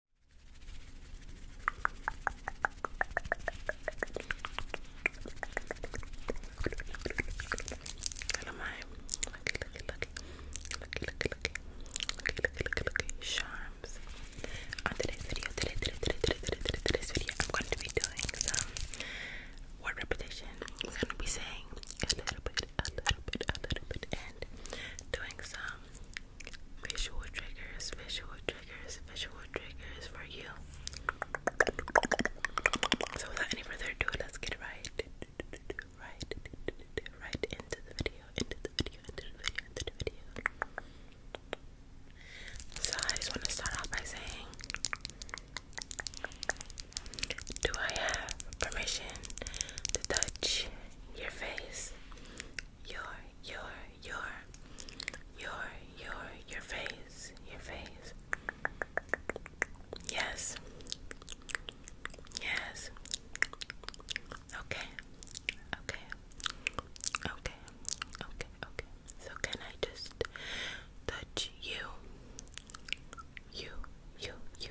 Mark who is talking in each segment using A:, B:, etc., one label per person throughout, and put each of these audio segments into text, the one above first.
A: Look at my lucky, lucky, lucky, lucky, lucky, lucky, lucky, lucky, lucky, lucky charms. On today's video, today, today, today, today, today, today, today's video, I'm going to be doing some word repetition. We're going to be saying a little bit, a little bit, a little bit, and doing some visual triggers, visual triggers, visual triggers for you. So without any further ado, let's get right, right, right into the video, into the video, into the video, into the video. So I just want to start off by saying, do I have permission to touch your face? your your your your your your face your face yes yes okay okay okay okay okay so can I just touch you you you you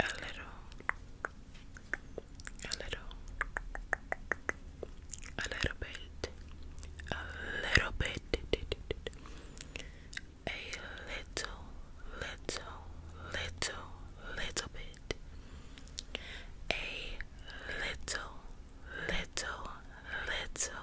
A: a little, a little, a little bit, a little bit, a little, little, little, little bit, a little, little, little,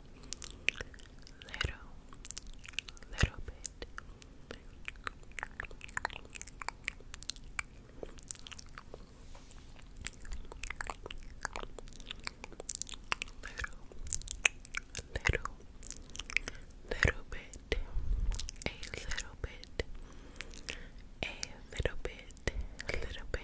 A: little, little, bit. Little, little, little bit, a little bit, a little bit, little bit, little bit,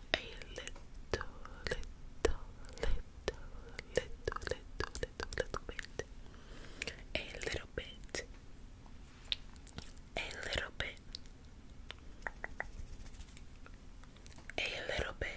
A: a little, little, little, little, little, little, little bit, a little bit, a little bit, a little bit, a little bit, a little bit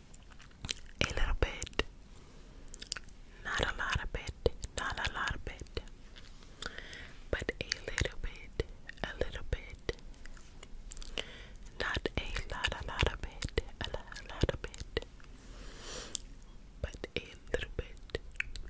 A: a little bit, not a lot of bit, not a lot of bit, but a little bit, a little bit, not a lot, a lot of bit, a lot, a lot of bit, but a little bit. A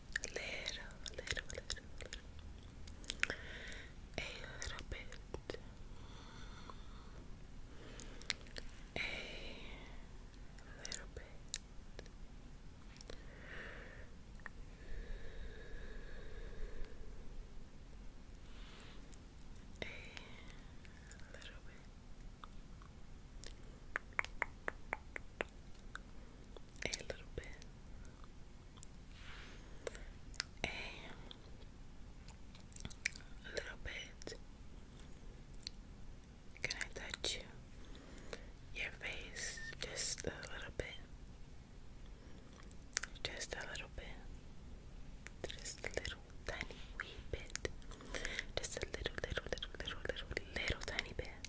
A: little, little, little, little, a little bit, a little bit. A little bit. A little bit a little bit. Can I touch you? Your face, just a little bit. Just a little bit. Just a little tiny wee bit. Just a little, little, little, little, little, little tiny bit.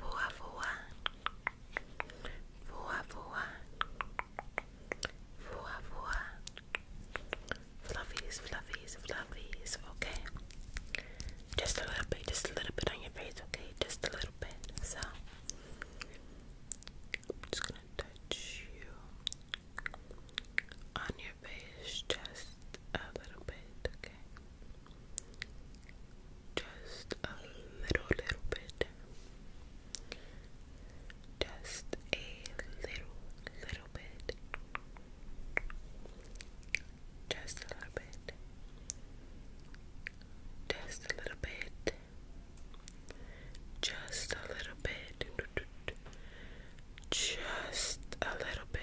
A: voa voa voa voa fluffies fluffies fluffies okay just a little bit just a little bit on your face okay just a little bit so I'm just gonna touch you on your face just a little bit okay just a little, little bit. Just a little, little bit. Just a little bit. Just a little bit. Just a little bit. Just a little bit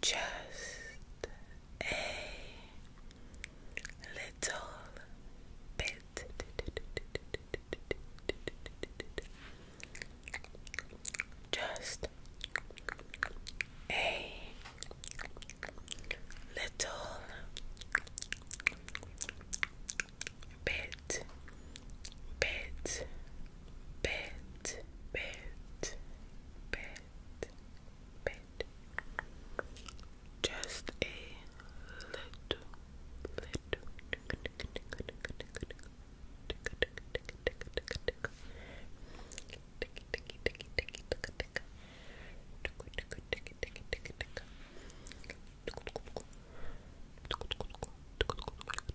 A: just a little bit. Just a little bit, bit, bit, bit, bit, bit, bit, just a little, little,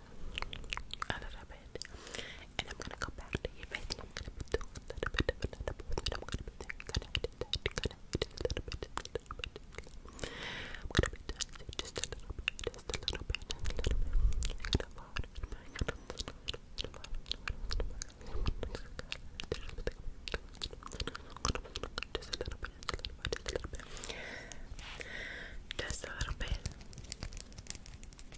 A: bit, a little bit, and I'm gonna go back to your face I'm gonna be doing a little bit of another movement. I'm gonna be doing connected, connected, a little bit, a little bit. I'm gonna be doing just a little bit, just a little bit, a little bit. I'm gonna follow it, I'm gonna follow it, I'm gonna follow it, I'm gonna follow it. Just a little bit, just a little bit, just a little bit. Just a little bit.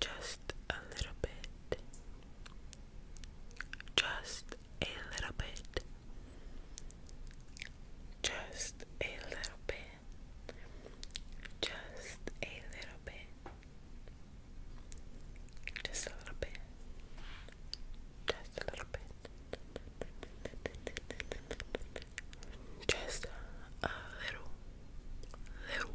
A: Just a little bit. Just a little bit. Just a little bit. Just a little bit. Just a little bit. Just a little bit. Just a little, little,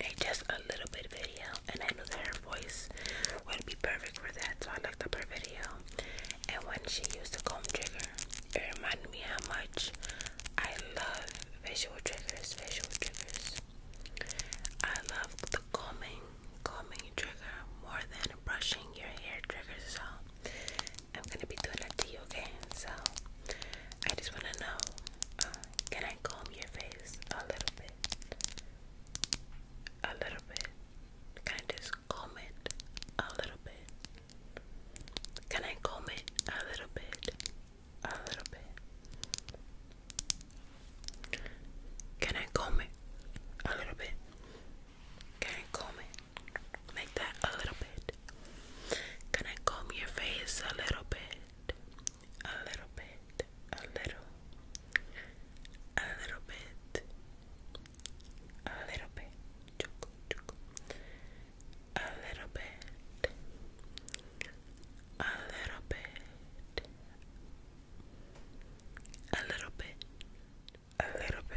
A: a just a little bit video, and I knew that her voice would be perfect for that, so I looked up her video. And when she used the comb trigger, it reminded me how much I love visual triggers. Visual triggers. I love the combing, combing trigger more than brushing your hair triggers. So I'm gonna be doing that to you, okay? So I just wanna know uh, can I comb your face a little bit? A little bit. Can I just comb it a little bit? Can I comb it a little bit? A little bit. Can I comb it a little bit? Can I comb it? Make that a little bit. Can I comb your face a little bit? A little bit, a little, a little bit, a little bit, a little bit, a little bit, a little bit, a little bit. A little bit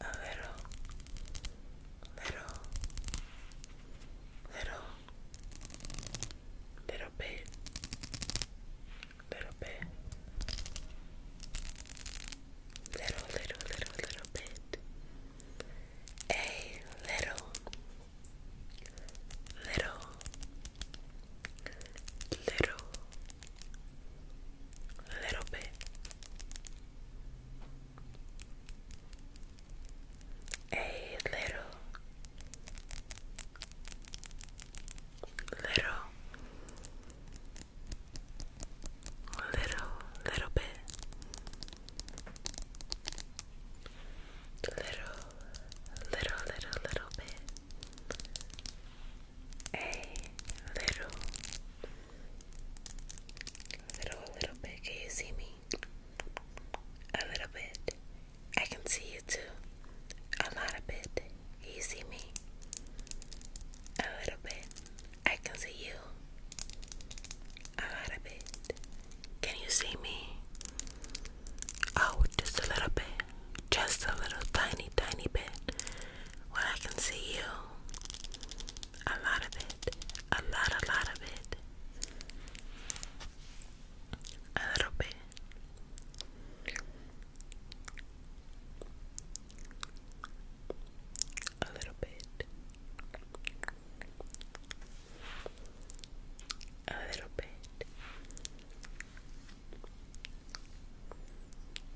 A: a little, little, little, little bit, little bit, little, little, little, little bit, a little, little, little a little bit, a little, little, little, little bit. Little, little, little, little bit a little, little, a little bit. Can you see me? A little bit. I can see you too. A lot of bit. you see me? A little bit. I can see you. A lot of bit. Can you see me? Oh, just a little bit. Just a little tiny, tiny bit where I can see you. A lot of it. A lot, a lot of it. A little bit. A little bit. A little bit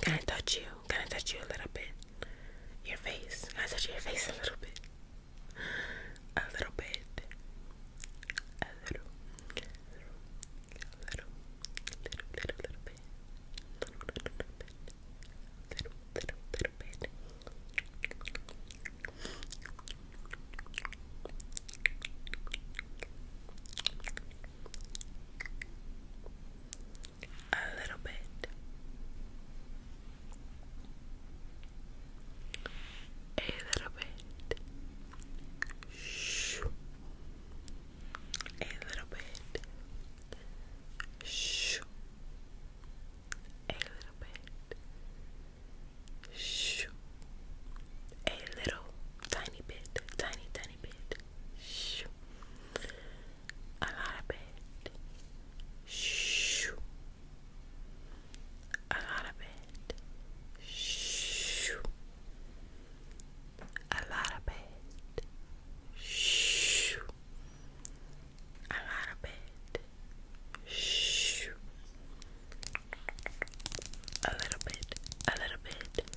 A: Can I touch you? Can I touch you a little bit? Your face. Can I touch your face a little bit? A little bit. A little. A little. Little, little, little bit. Little, little, little bit. Little, little, little bit. Little, a little bit, a little bit, shh, a little bit, shh, a little bit, shh, a little tiny bit, tiny, tiny bit. Shh. A lot of it. Shh. A lot of it. Shh. A lot of it. Shh. A lot of it. Shh. A little bit. A little bit.